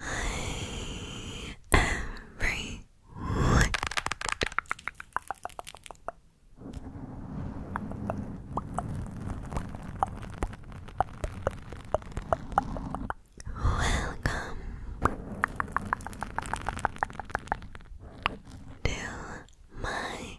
Hi, everyone. Welcome to my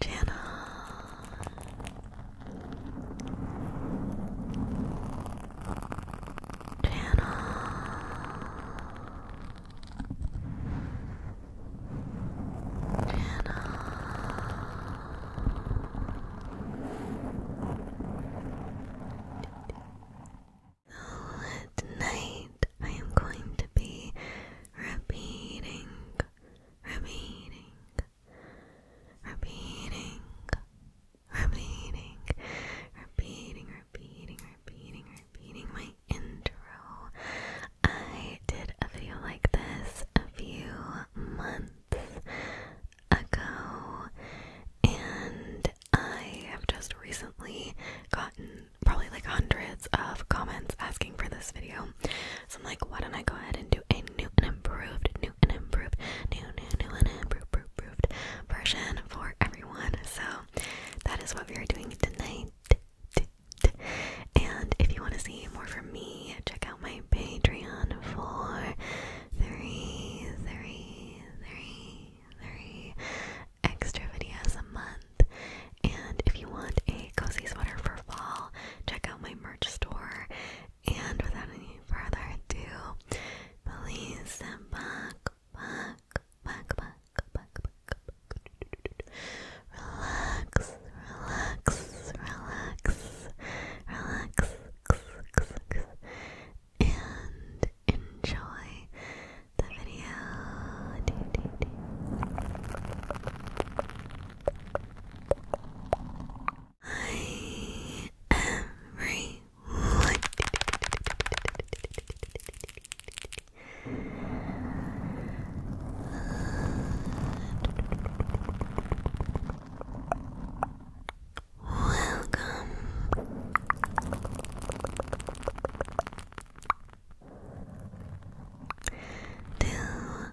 channel. Channel. Channel. So tonight I am going to be repeating repeating, repeating, repeating, repeating, repeating, repeating, repeating my intro. I did a video like this a few months ago, and I have just recently gotten probably like hundreds of comments asking for this video. I'm like, why don't I go ahead and do a new and improved, new and improved, new, new, new and improved, improved version for everyone. So that is what we are doing tonight. And if you want to see more from me, check out my Patreon for three, three, three, three extra videos a month. And if you want a cozy sweater for fall, check out my merch store. And without any further ado, please sit back, back, back, back, back, back, back. Relax, relax, relax, relax, and enjoy the video. Hi, everyone. Welcome to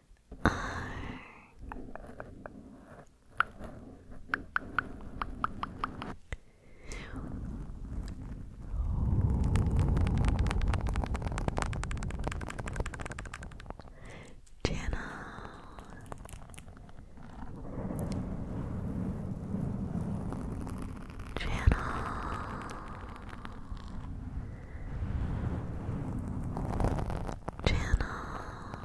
R Channel Channel Channel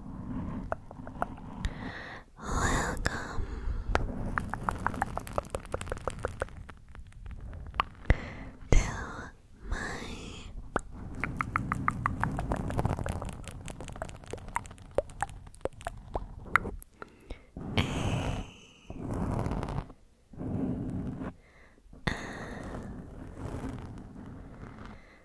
Welcome. To my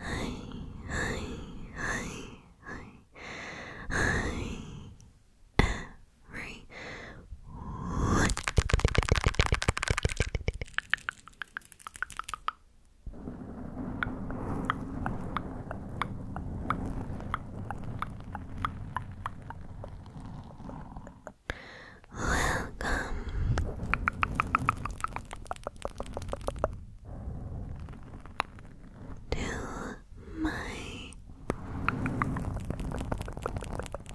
Hi, hi, hi, hi, hi, right? Welcome. To my channel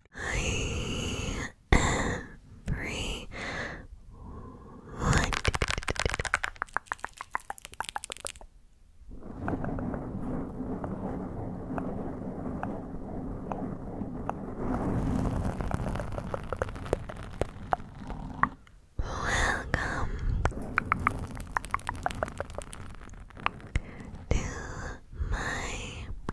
everyone. Welcome to my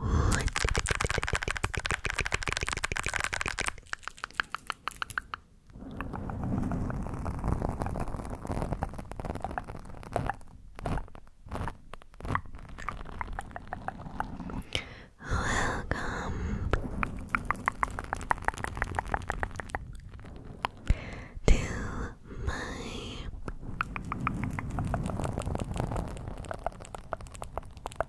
Welcome to my channel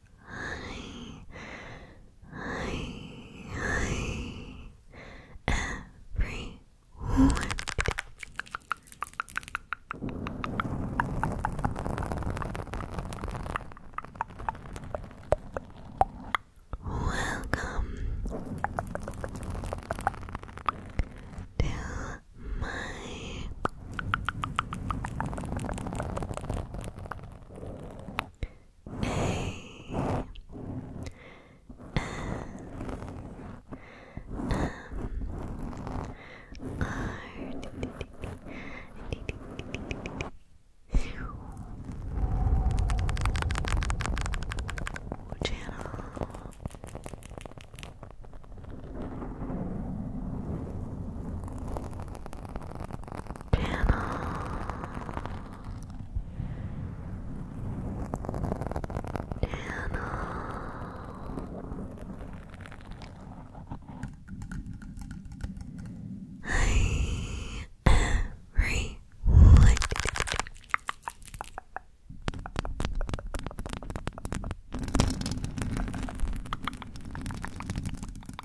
I, I, I, every moment. Welcome to my Channel channel. Channel. Hi, everyone.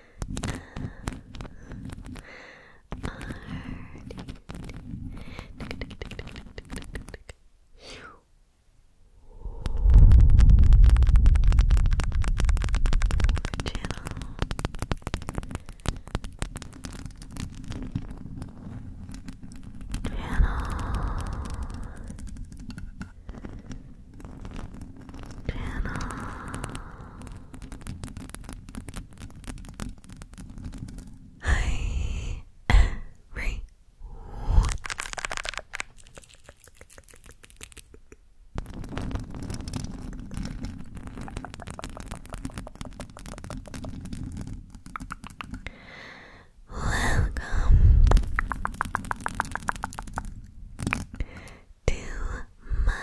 Channel channel. Hi, everyone. Welcome to my a Channel.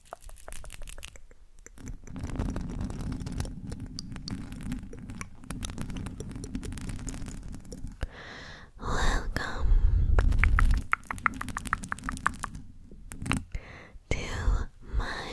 Welcome to my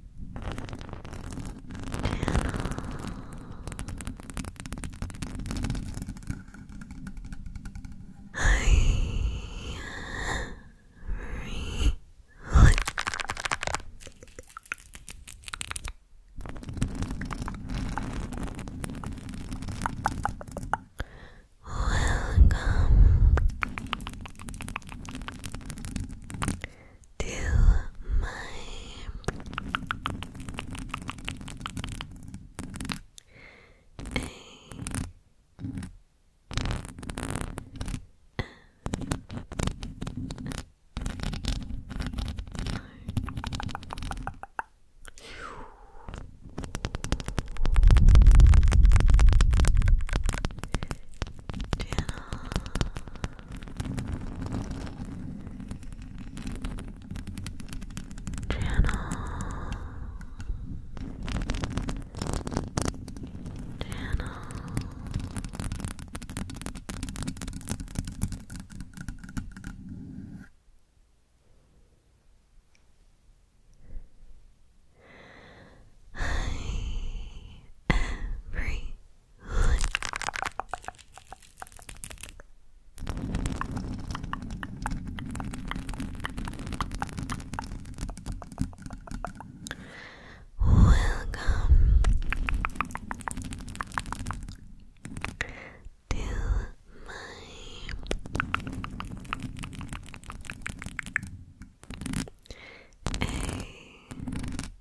I really Welcome to my Channel. Channel. Channel. Hi, everyone. Welcome to my a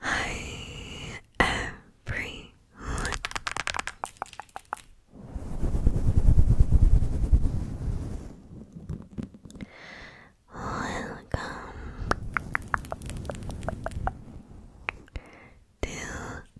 Hi everyone. Welcome to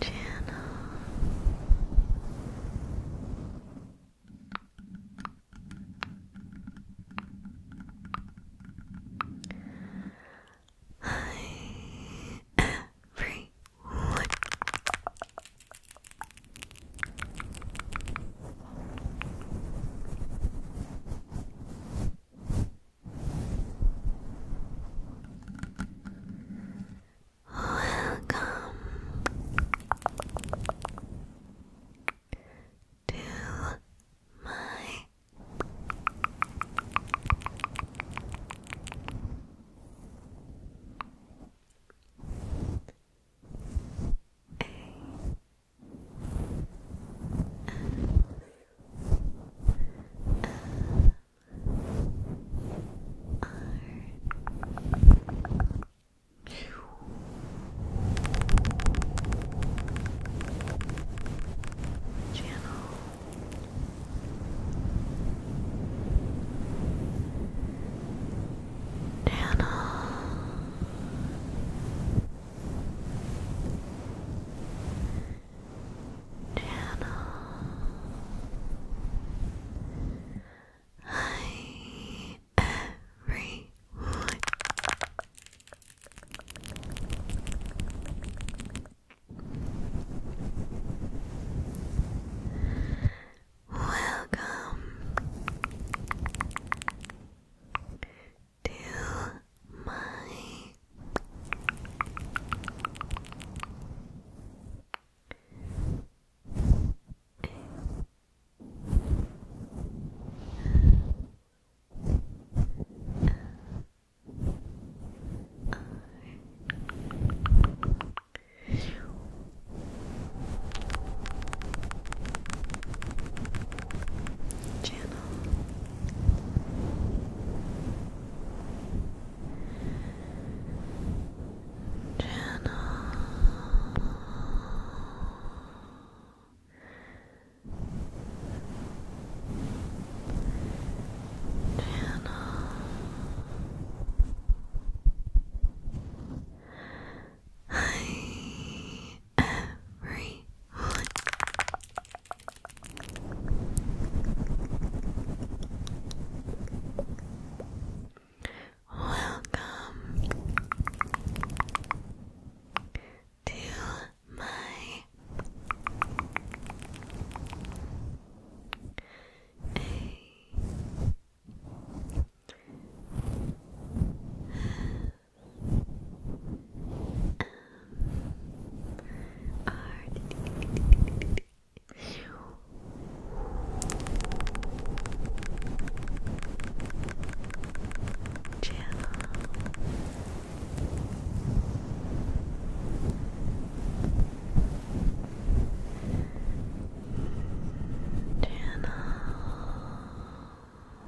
channel. Hi, everyone. Welcome to my channel. Channel. Channel channel. Hi, everyone. Welcome to my Channel beautiful. Channel. Channel. Hi everyone. Welcome to my um, are Channel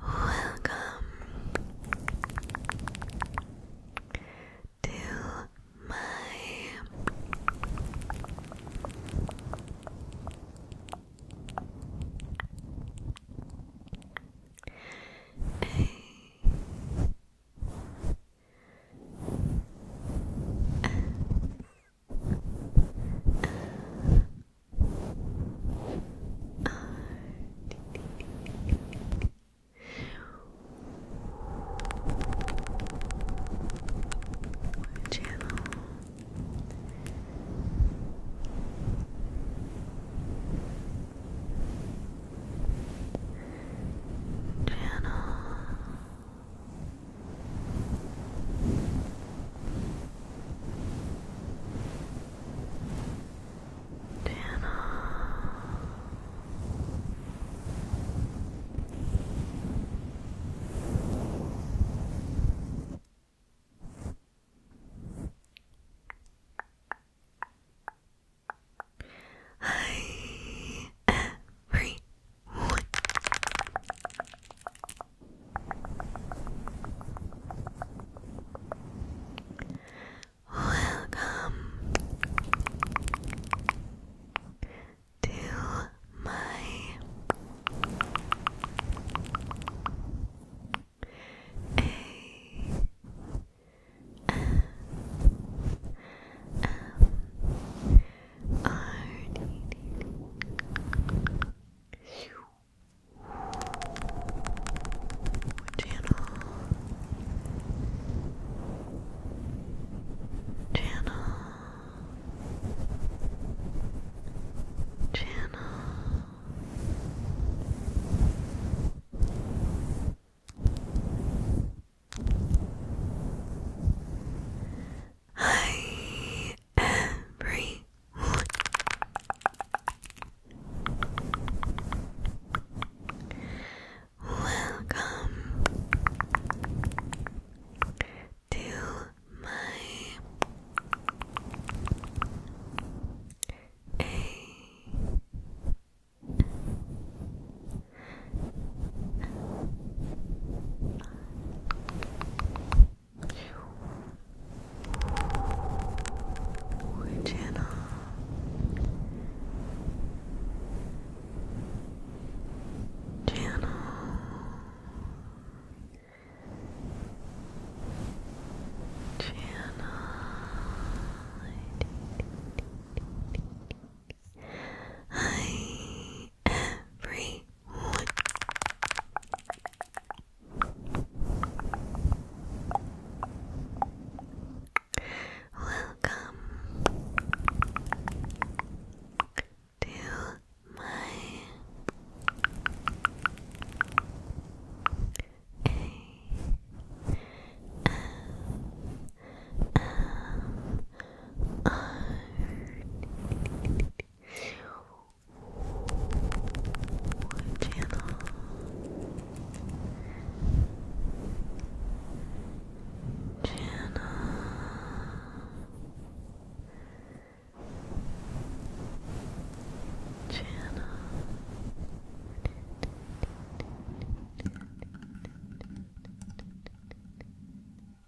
Welcome to my our channel. Channel. Channel. Dana. Hi, everyone. Welcome to my A M R D D channel channel channel Hi, everybody. Welcome to my channel. Channel. Channel. Hi, everyone. Welcome to my A M R channel. Channel. Channel.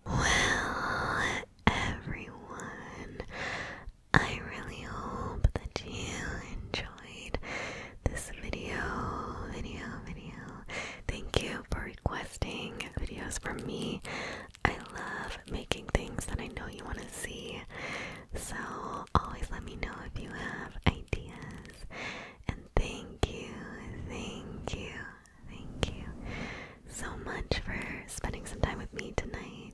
Well, everyone, I really hope that you enjoyed this video, video, video. Thank you for requesting videos from me. I love making things that I know you want to see. So always let me know if you have ideas. And thank you, thank you, thank you so much for spending some time with me tonight.